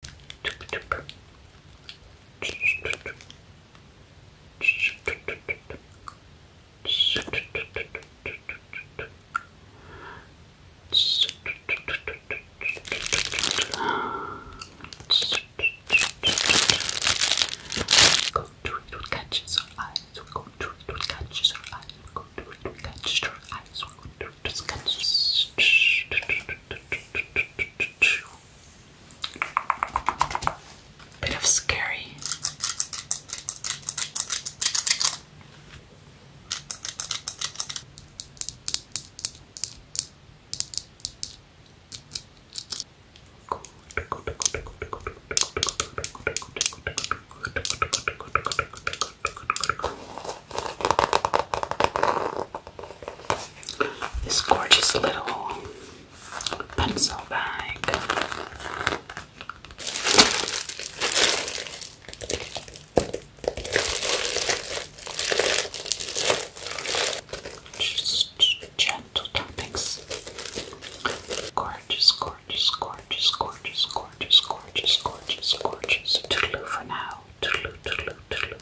Go to it what catches our eyes. We're going to it what catches eyes. We're going to it what catches eyes. We're going to it what catches. Bit of scary. This gorgeous little pencil bag. Just gentle topics. Gorgeous, gorgeous, gorgeous, gorgeous, gorgeous, gorgeous, gorgeous, gorgeous. Toodaloo for now. Toodaloo, toodaloo, toodaloo,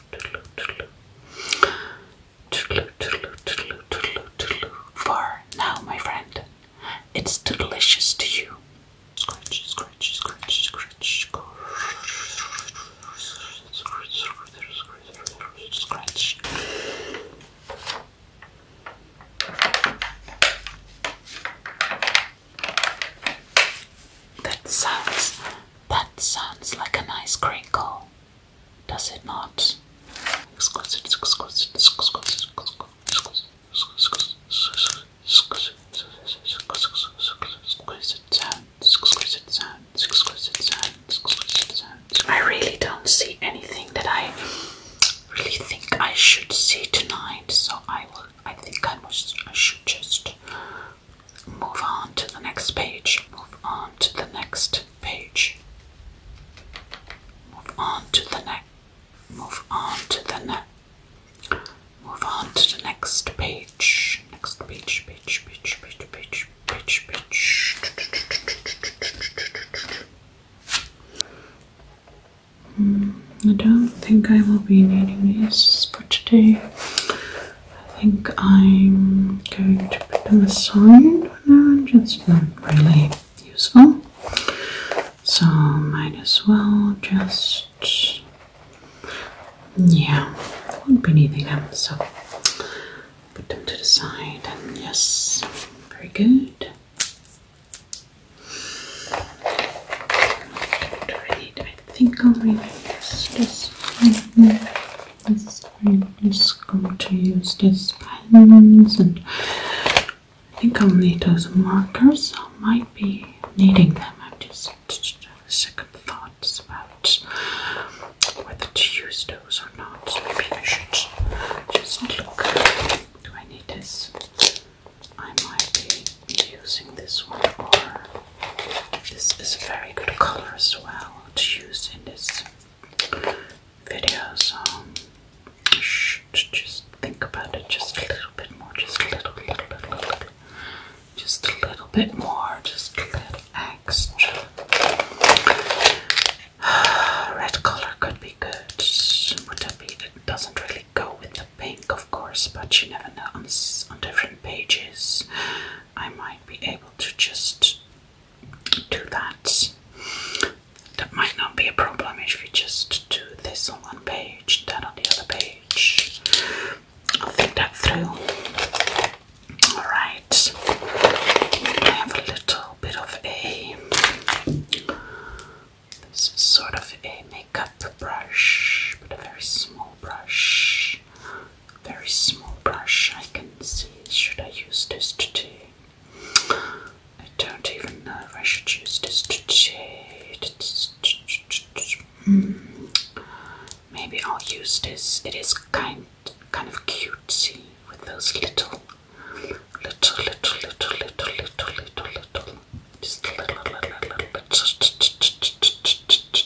for now, my friend, it's delicious to you. That sounds that sounds like a nice crinkle, does it not? I really don't see anything that I really think I should see tonight, so I will. I think I must. I should just move on to the next page. Move on to the next page. Move on to the next. Move on to the next. Move on to the next page. Next page, page, page, page, page, page, page. Mm, I don't think I will be needing these for today. I think I'm going to put them aside for now, just not really useful. So, might as well just. Yeah, won't be needing them, so put them to the side, and yes, very good. I I think I'll use this one. This I'm going to use these pens, and I think I'll need those markers. I might be needing them. I'm just second thoughts about whether to use those or not. Maybe I should just look. Do I need this? I might be using this one more. This is a very good color as well to use in this video, so just think about it just a little bit more, just a little, little, little, little, just a little bit more, just a little extra. Red color could be good. Would that be? It doesn't really go with the pink of of course, but you never know. On, different pages, I might be able to just do that. That might not be a problem if we just do this on one page, that on the other page. I'll think that through. Alright, I have a little bit of a. This is sort of a makeup brush, but a very small brush brush, very small brush. I can see. Should I use this today? I don't even know if I should use this today. Maybe I'll use this. It is kind kind of cutesy with those little, little, little, little, little, little, little, little, just little, little, little, little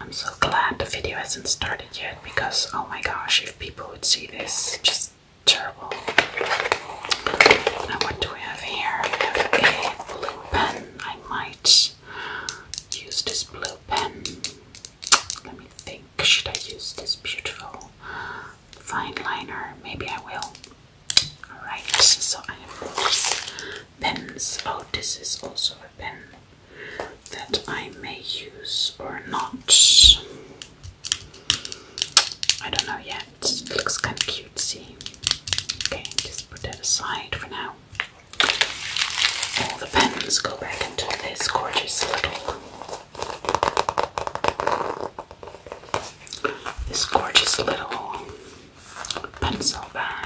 I'm so glad the video hasn't started yet because oh my gosh, if people would see this, just terrible. Now, what do we have here? We have a blue pen. I might use this blue pen. Let me think. Should I use this beautiful fine liner? Maybe I will. Alright, so I have those pens. Oh, this is also a pen that I may use or not. I don't know yet. looks kind of cute, see? Okay, just put that aside for now. All the pens go back into this gorgeous little this gorgeous little pencil bag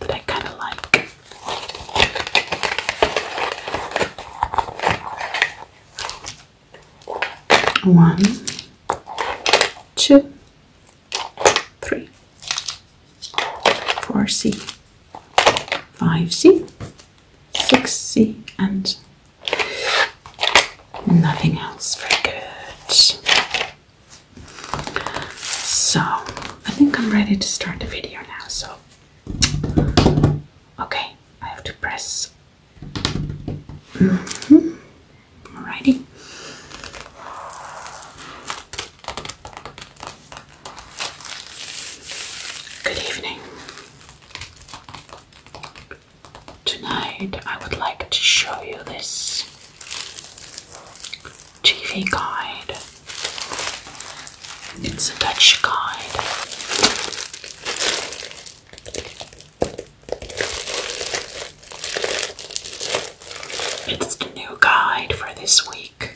that I kind of like. One, two, three, four C, five C, six C, and nothing else. Very good. So I think I'm ready to start the video now. So, okay, I have to press. Mm -hmm. Alrighty. Good evening. Tonight I would like to show you this TV guide. It's a Dutch guide. It's the new guide for this week.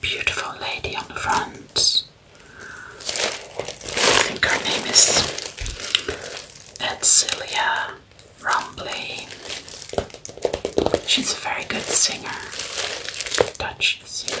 Beautiful lady on the front. I think her name is Edcilia rumbly. She's a very good singer, Dutch singer.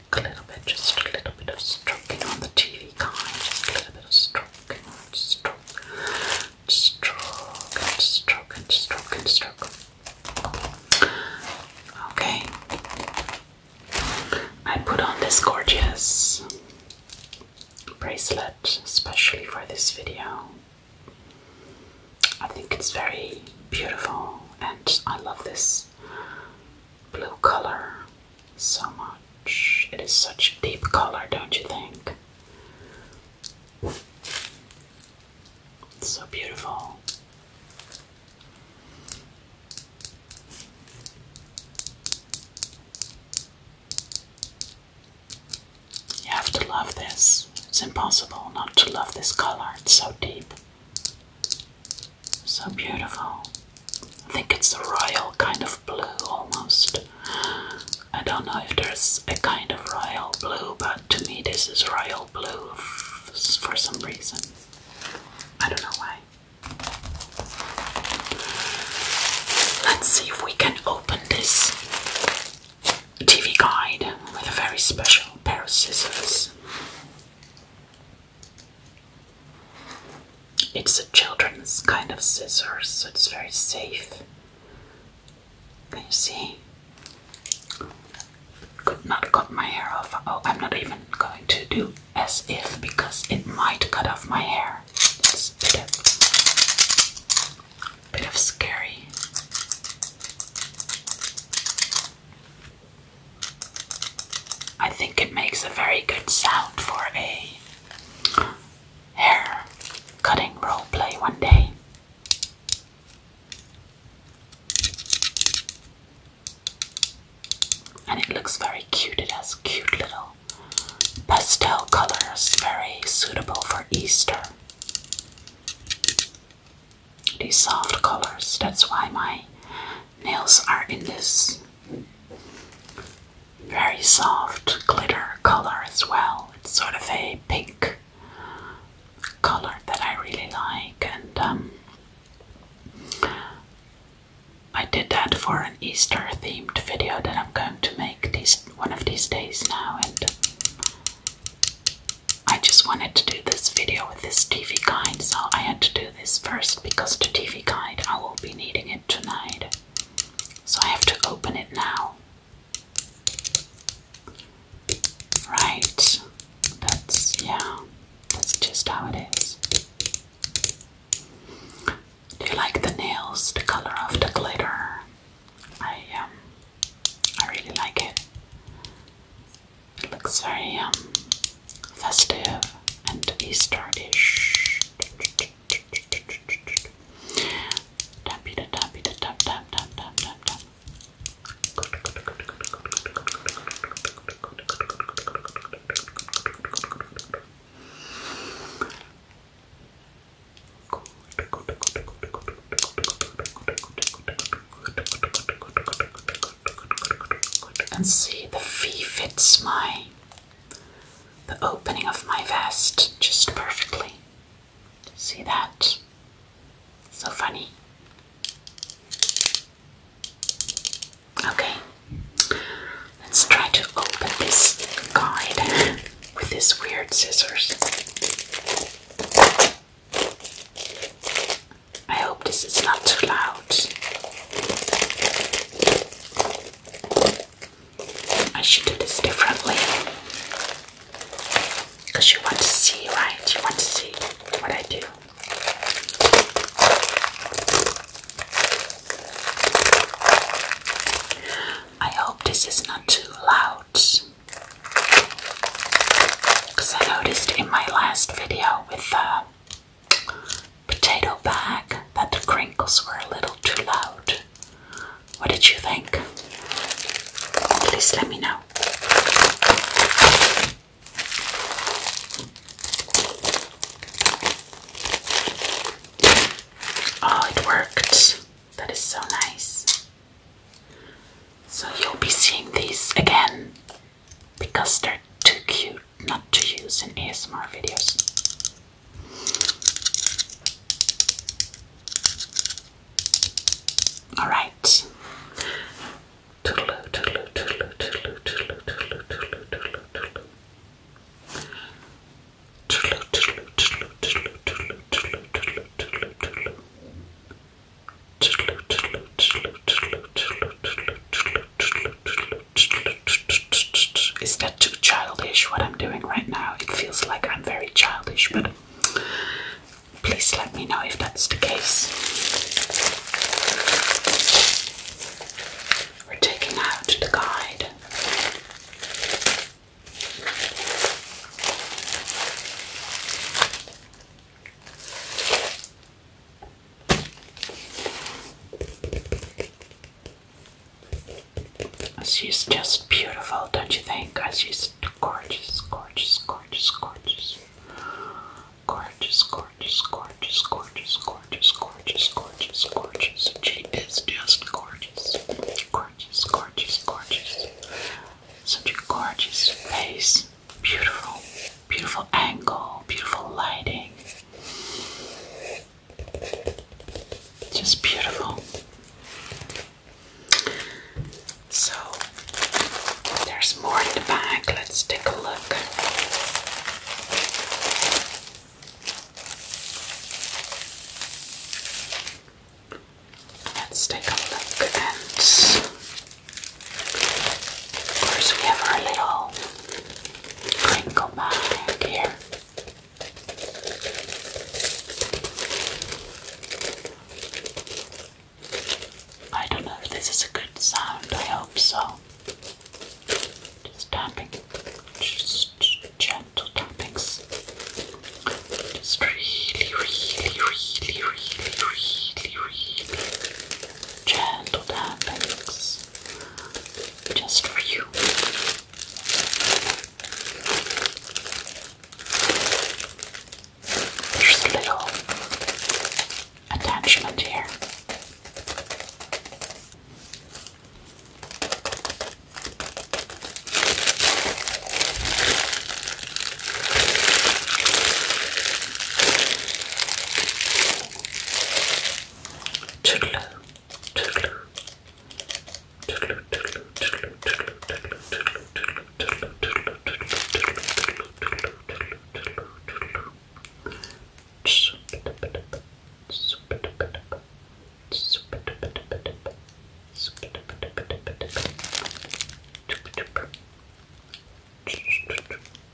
a little bit, just a little bit of stroking on the TV kind, just a little bit of stroking, stroke, stroke, and stroke, and stroke, and stroke. Okay, I put on this gorgeous bracelet especially for this video. I think it's very beautiful, and I love this blue color so much. It is such a deep color, don't you think? It's so beautiful. You have to love this. It's impossible not to love this color. It's so deep. So beautiful. I think it's a royal kind of blue almost. I don't know if there's a kind of royal blue, but to me, this is royal blue for some reason. I don't know why. Let's see if we can open this TV guide with a very special pair of scissors. It's a children's kind of scissors, so it's very safe. Can you see? Could not cut my hair off. Oh, I'm not even going to do as if because it might cut off my hair. It's a bit of, bit of scary. I think it makes a very good sound for a hair cutting role play one day. And it looks very cute. It has cute little pastel colors, very suitable for Easter. These soft colors, that's why my Nails are in this very soft glitter color as well. It's sort of a pink color that I really like, and um, I did that for an Easter themed video that I'm going to make these one of these days now, and I just wanted to do this video with this TV guy, so I had to do this first because the TV guide, I will be needing it tonight. So I have to open it now. Right, that's, yeah, that's just how it is. Do you like the nails, the color of the glitter? I, um, I really like It looks very, um, festive and Easterish. Tappy da tappy da tap tap tap tap tap tap and see the V fits my the opening of my vest just perfectly. See that? So funny. Okay, let's try to open this guide with these weird scissors. I hope this is not too loud. I should do this differently. Because you want to see, right? You want to see what I do. I hope this is not too loud. Because I noticed in my last video with the uh, potato bag, but the crinkles were a little too loud. What did you think? Please let me know. Oh, it worked. That is so nice. So you'll be seeing these again because they're too cute not to use in ASMR videos. Alright. Is that too childish what I'm doing right now? It feels like I'm very childish, but please let me know if that's the case. We're taking out the guide. She's just beautiful, don't you think? She's gorgeous, gorgeous, gorgeous, gorgeous. Gorgeous, gorgeous, gorgeous, gorgeous, gorgeous, gorgeous, gorgeous, gorgeous. She is just gorgeous. Gorgeous, gorgeous, gorgeous. Such a gorgeous face. Beautiful. Beautiful angle, beautiful lighting. Just beautiful. So there's more in the bag. Let's take a look. Let's take a look and of course we have our little crinkle back here. I don't know if this is a good sound, I hope so. Just tapping, just gentle tappings. Just really, really, really, really, really, really, gentle tappings just for you. There's a little attachment here. Tootloo, tootloo, tootloo, tootloo, tootloo, tootloo, tootloo, tootloo, tootloo, tootloo, tootloo, tootloo, tootloo, tootloo, tootloo. Super,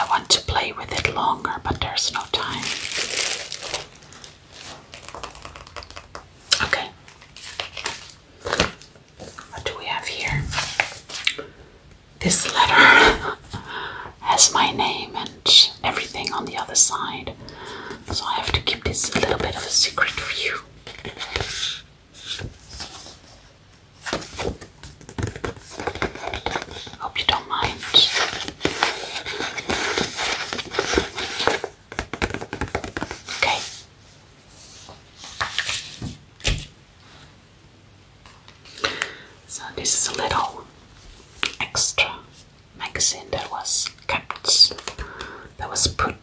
I want to play with it longer, but there's no time. Okay. What do we have here? this letter has my name and everything on the other side. So I have to keep this a little bit of a secret for you. Hope you don't mind. Okay. So this is a little extra magazine that was kept, that was put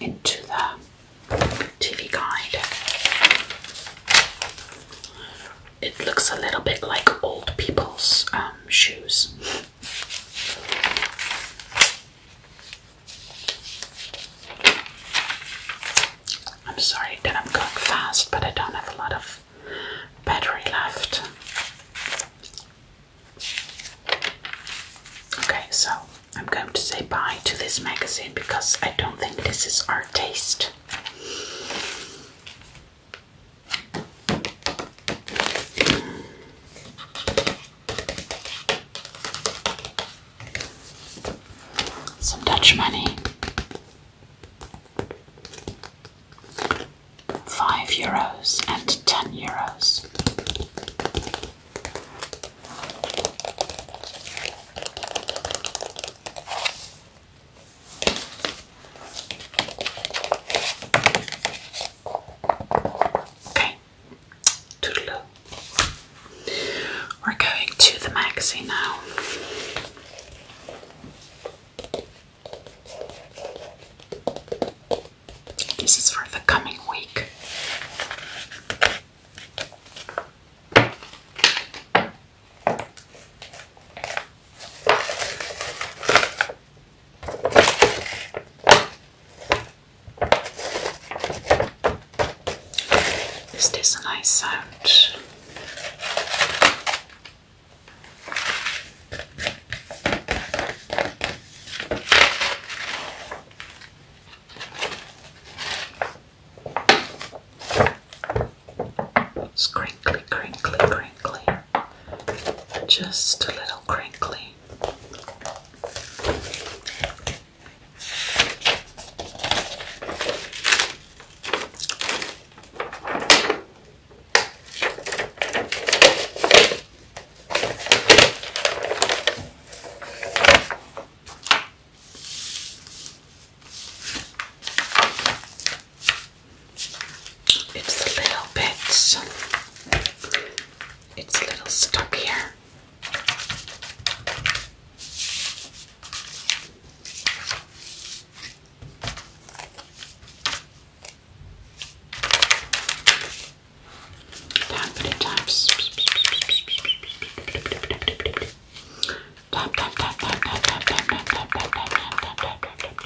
into the TV guide. It looks a little bit like old people's um, shoes. I'm sorry that I'm going fast, but I don't have a lot of battery left. Okay, so I'm going to say bye to this magazine because I don't think this is our taste. Some Dutch money. Five euros and ten euros. Okay, toodaloo. We're going to the magazine now. This is for the coming week. This is a nice sound. crinkly, crinkly, crinkly. Just a little crinkly. It's a little bit. It's a little stuck here many times. Tap, tap, tap, tap, tap, tap, tap, tap, tap, tap, tap, tap, tap,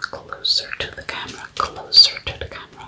Closer to the camera, closer to the camera.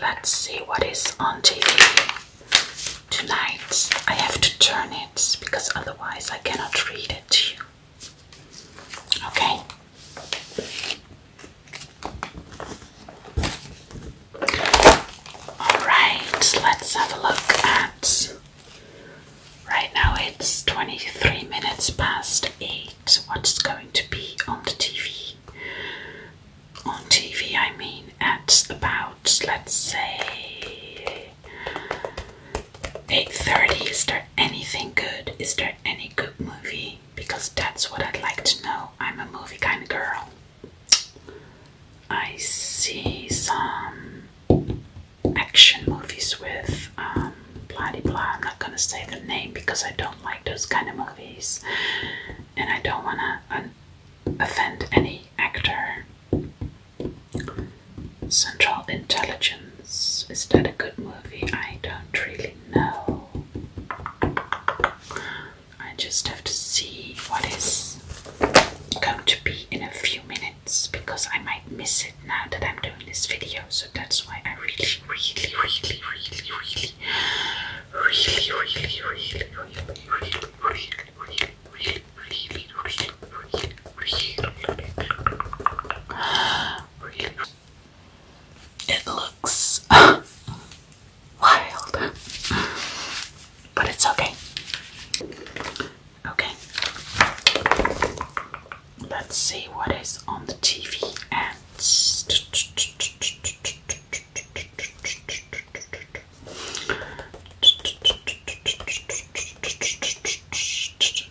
Let's see what is on TV tonight. I have to turn it because otherwise I cannot read it to you. Okay. Alright, let's have a look at. Right now it's 23 minutes past 8. So what's going to be on the TV. On TV, I mean, at about let's say 8:30. Is there anything good? Is there any good movie? Because that's what I'd like to know. I'm a movie kind of girl. I see some action movies with um, blah blah. I'm not gonna say the name because I don't like those kind of movies, and I don't wanna offend any actor. Central Intelligence is that a good movie? I don't really know. I just have to see what is going to be in a few minutes because I might miss it now that I'm doing this video. So that's why I really, really, really, really, really, really, really, really, really, really, really, really, really, really, really, really, really, it looks wild, but it's okay. Okay let's see what is on the TV and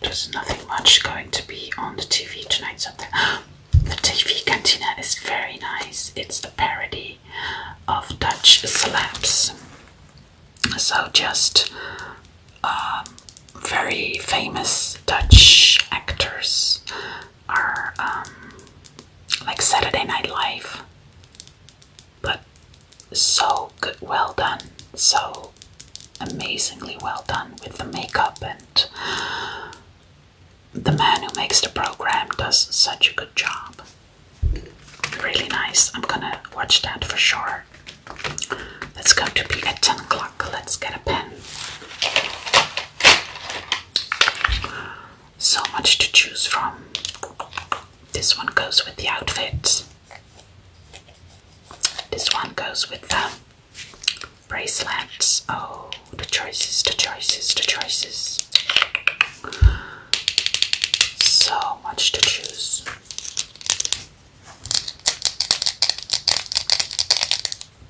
there's nothing much going to be on the TV tonight. Something. the TV Cantina is very nice. It's a parody of Dutch slaps. So just um, very famous Dutch actors are um, like Saturday Night Live, but so good, well done, so amazingly well done with the makeup and the man who makes the program does such a good job. Really nice. I'm gonna watch that for sure. Let's go to be at 10 o'clock. Let's get a pen. So much to choose from. This one goes with the outfit. This one goes with the bracelets. Oh, the choices, the choices, the choices. So much to choose.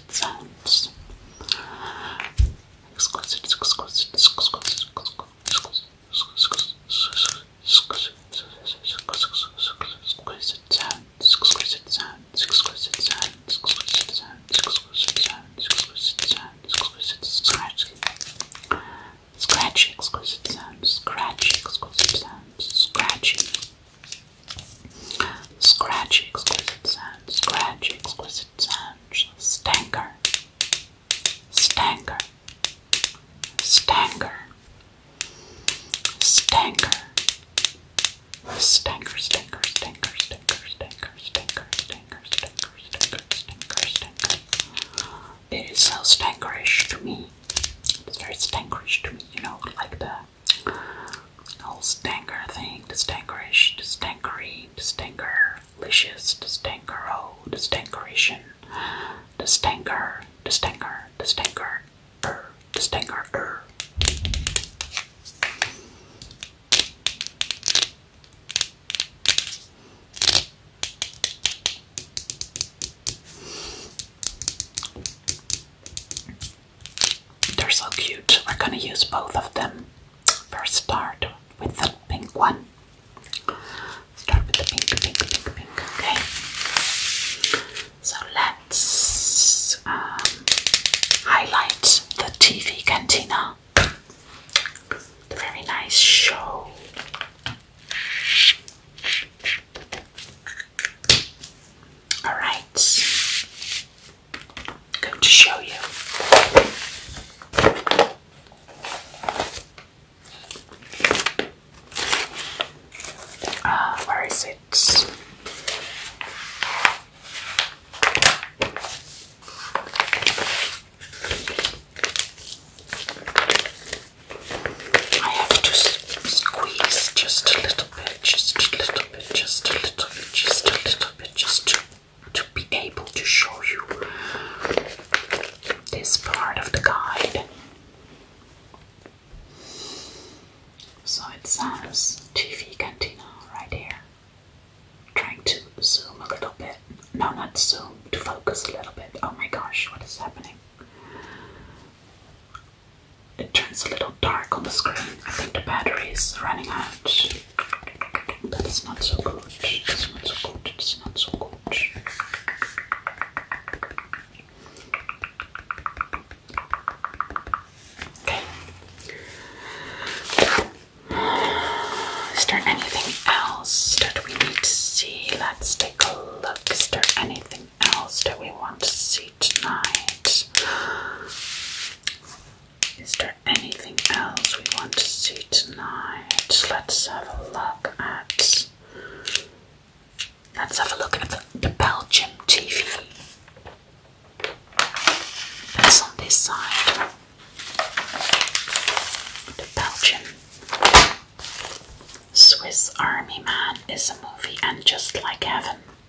exquisite sounds. Exquisite, exquisite, exquisite, exquisite sounds, exquisite sounds, exquisite sounds, exquisite sounds, exquisite sounds, exquisite sounds, exquisite scratch. Scratchy exquisite sounds, scratchy exquisite sounds, scratchy Scratchy exquisite sound, scratchy exquisite sound, stanker, stanker, stanker, stanker, stanker, stanker, stanker, stanker, stanker, stanker, stanker, stanker, stanker, stanker, stanker. It is so stankerish to me. It's very stankerish to me, you know, like the the whole stanker thing, the stankerish, the stankery, the stanker, licious, the stankero, the stankerition, the stanker, the stanker, the stanker, er, the stanker, er. They're so cute. We're gonna use both of them. First, start with the pink one. Start with the pink, pink, pink, pink. Okay. So let's um, highlight the TV Cantina. The very nice show. All right going to show you. Uh, where is it? I have to squeeze just a little bit, just a little just a little bit, just a little bit, just to, to be able to show you this part of the guide. So it says TV Cantina right here. Trying to zoom a little bit. No, not zoom, to focus a little bit. Oh my gosh, what is happening? it turns a little dark on the screen. I think the battery is running out. That is not so good. It's not so good. It's not so good. Okay. Is there anything else that we need to see? Let's take a look. Is there anything else that we want to see tonight? Is there anything else we want to see tonight? Let's have a look at. Let's have a look at the, Belgian TV. That's on this side. The Belgian Swiss Army Man is a movie and just like heaven.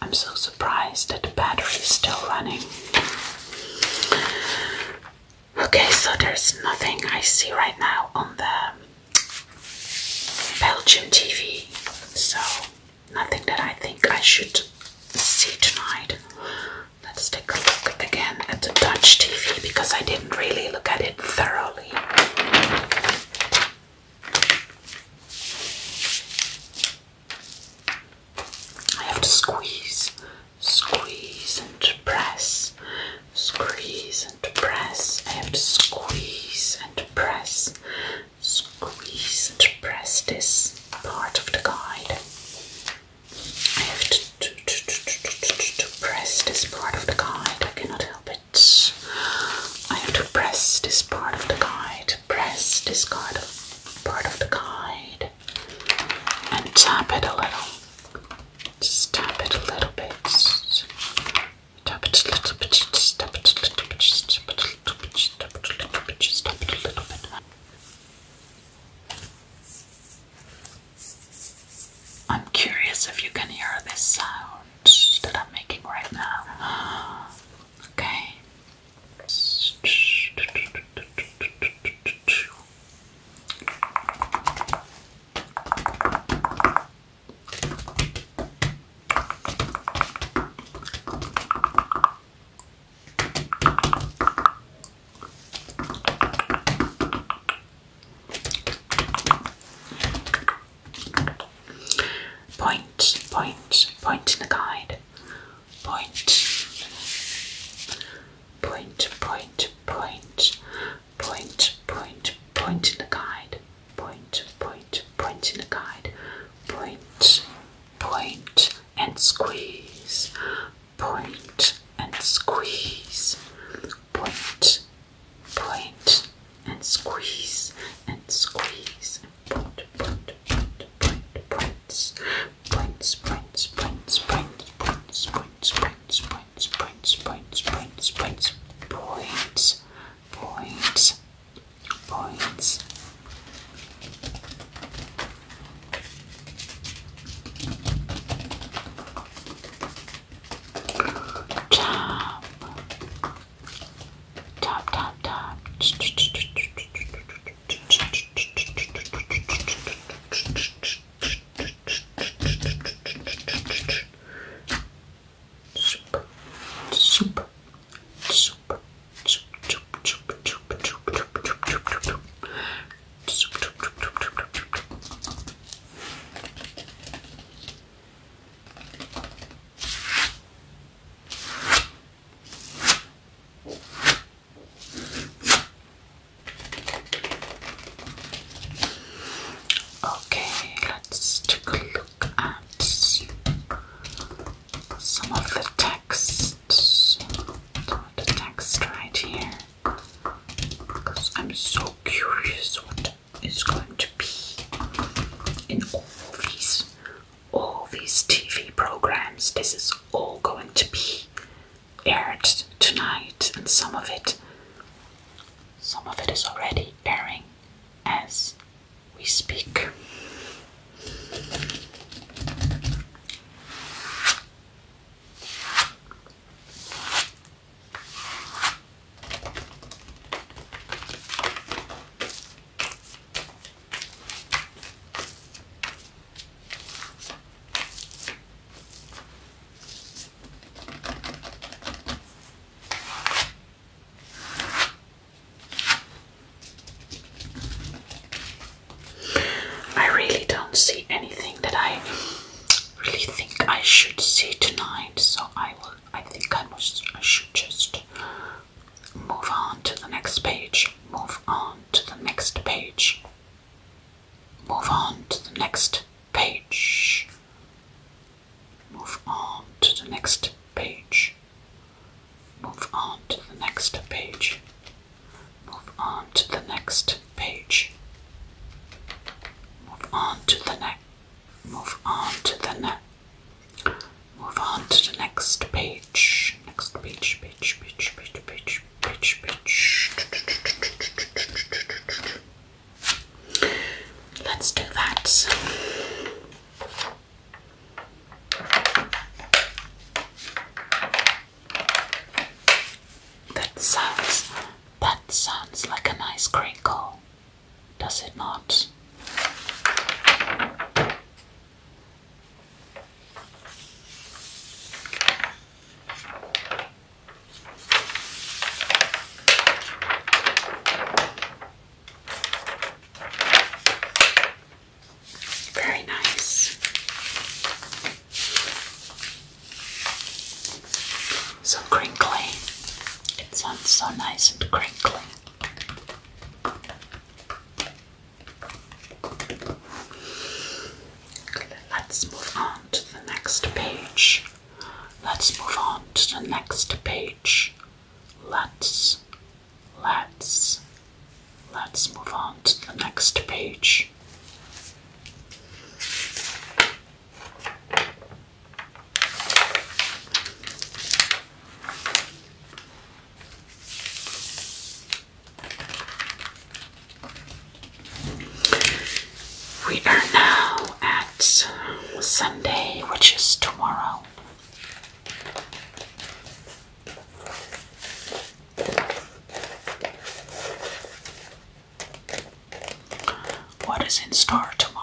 I'm so surprised that the battery is still running. Okay, so there's nothing I see right now on the Belgium TV, so nothing that I think I should see tonight. Let's take a look again at the Dutch TV because I didn't really look at it thoroughly. I have to squeeze, squeeze and press, squeeze and press. I have to squeeze and press, squeeze and press this part of the guide. I have to, to press this part of the guide. I cannot help it. I have to press this part of the guide, press this part of the guide, and tap it a little. Just tap it a little bit. Tap it a little bit. tap it a little bit. tap it a little bit. tap it a little bit. tap it a little bit. I'm curious if you can hear this sound that I'm making right now. Okay. Point, point, point in the guide. Point, point, point, point, point, point, point in the guide. Point, point, point in the guide. Point, point, and squeeze. Point and squeeze. Point point and squeeze and squeeze point point point point points points points points points points points points points points points points points points points points Jump, Tap, tap, tap. Soup, soup, soup, Okay, let's take a look at some of the text. the text right here. Because I'm so curious is going to be in all these all these TV programs. This is all going to be aired tonight, and some of it some of it is already airing as we speak. I really don't see anything that I really think I should see tonight, so I will I think I must I should just move on to the next page. Move on to the next page. Move on to the next page. Move on to the next page. Move on to the next page. Move on to the next page move on to the next move on to the next page. Next page, page, page, page, page, page, page. Let's do that. That sounds that sounds like a nice crinkle does it not? Very nice. So crinkly. It sounds so nice and crinkly. Let's move on to the next page. Let's move on to the next page. Let's, let's, let's move on to the next page. We are now at Sunday, which is tomorrow. What is in store tomorrow?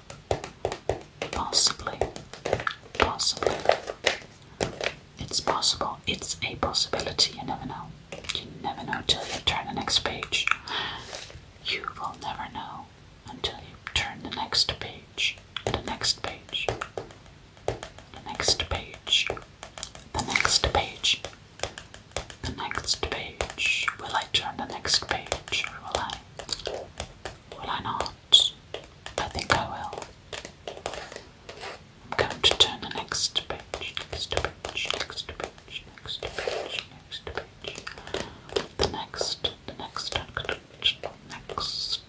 Possibly. Possibly. It's possible. It's a possibility. You never know. You never know till you turn the next page. You will never know until you turn the next page. The next page. The next page. The next page. The next page. Will I turn the next page or will I? Will I not? I think I will. I'm going to turn the next page, next page, next page, next page, next page. The next, the next, next.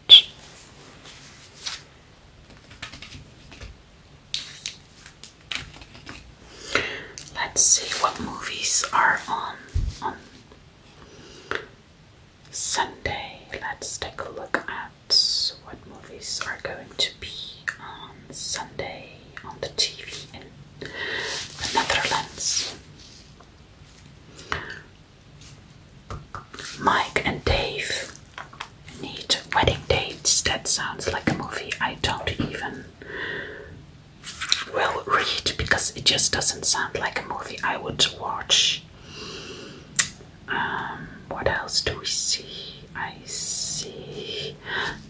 Let's see what movies are on Sunday, let's take a look at what movies are going to be on Sunday on the TV in the Netherlands. Mike and Dave need wedding dates. That sounds like a movie I don't even will read because it just doesn't sound like a movie I would watch. Um, what else do we see? I see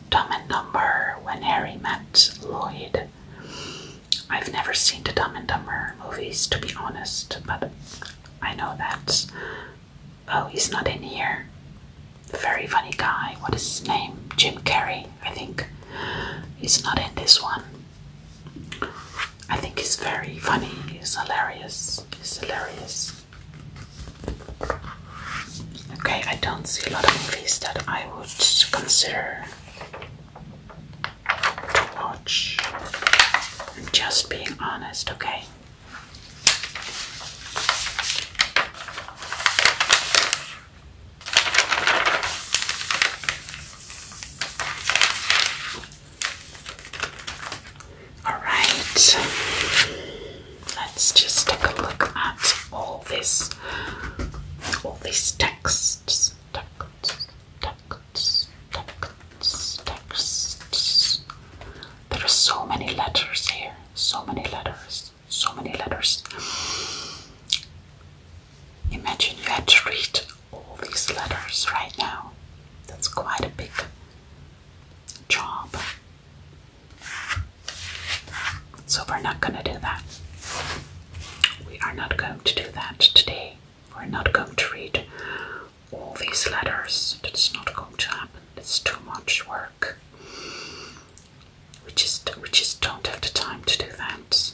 Dumb and Dumber when Harry met Lloyd. I've never seen the Dumb and Dumber movies to be honest, but I know that. Oh, he's not in here. Very funny guy. What is his name? Jim Carrey, I think. He's not in this one. I think it's very funny, It's hilarious, It's hilarious. Okay, I don't see a lot of movies that I would consider to watch. i just being honest, okay? All right, let's just take a look at all this, all these texts, texts, texts, texts, There are so many letters here, so many letters, so many letters. Imagine you had to read all these letters right now. That's quite a big job. So we're not going to do that. We are not going to do that today. We're not going to read all these letters. That's not going to happen. It's too much work. We just we just don't have the time to do that.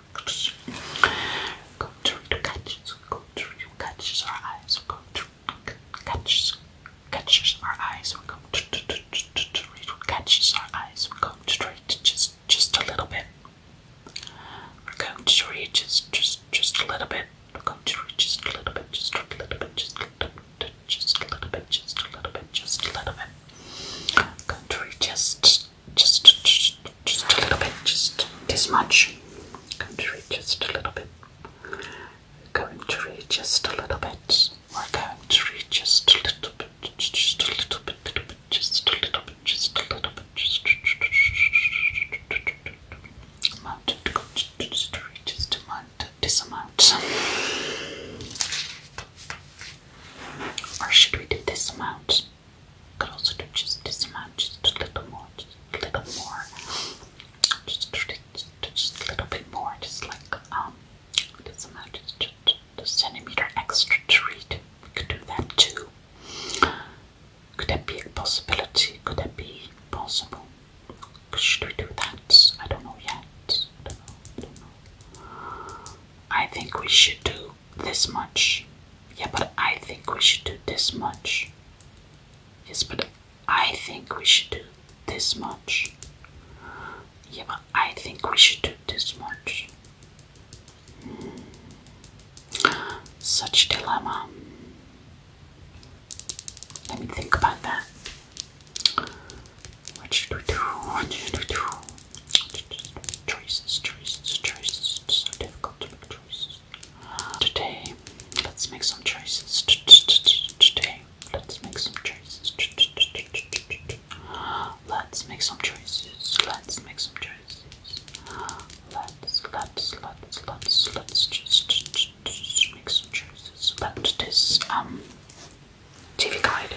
to catches, go through catches our eyes, go through catches, catches our eyes, we go through catches our eyes, we go straight just just a little bit. We're going to read just just just a little bit. We're going to read just a little bit, just a little bit, just a little bit, just a little bit, just a little bit, just a little bit. Going to read just just, just, just a little bit, just this much. I'm going to read just a little bit. We're going to read just a little bit. We're going to read just a little bit, just a little bit, little bit, just a little bit, just a little bit, just. Amount to go just to read just amount, this amount. Or should we do this amount? closer to just this much, just a little more, just a little more, just, just, just a little bit more, just like um, just, a centimeter extra to read. We could do that too. Could that be a possibility? Could that be possible? Should we do that? I don't know yet. I think we should do this much. Yeah, but I think we should do this much. Yes, but I think we should do this much. Yeah, but I think we should do this much. Hmm. Such dilemma. Let me think about that. What should we do? What should we do? Choices, choices, choices. It's so difficult to make choices. Today, let's make some choices. Today, let's make some choices. Let's make some choices. Let's make some choices. Let's, let's, let's, let's, let's make some choices about this um, TV guide.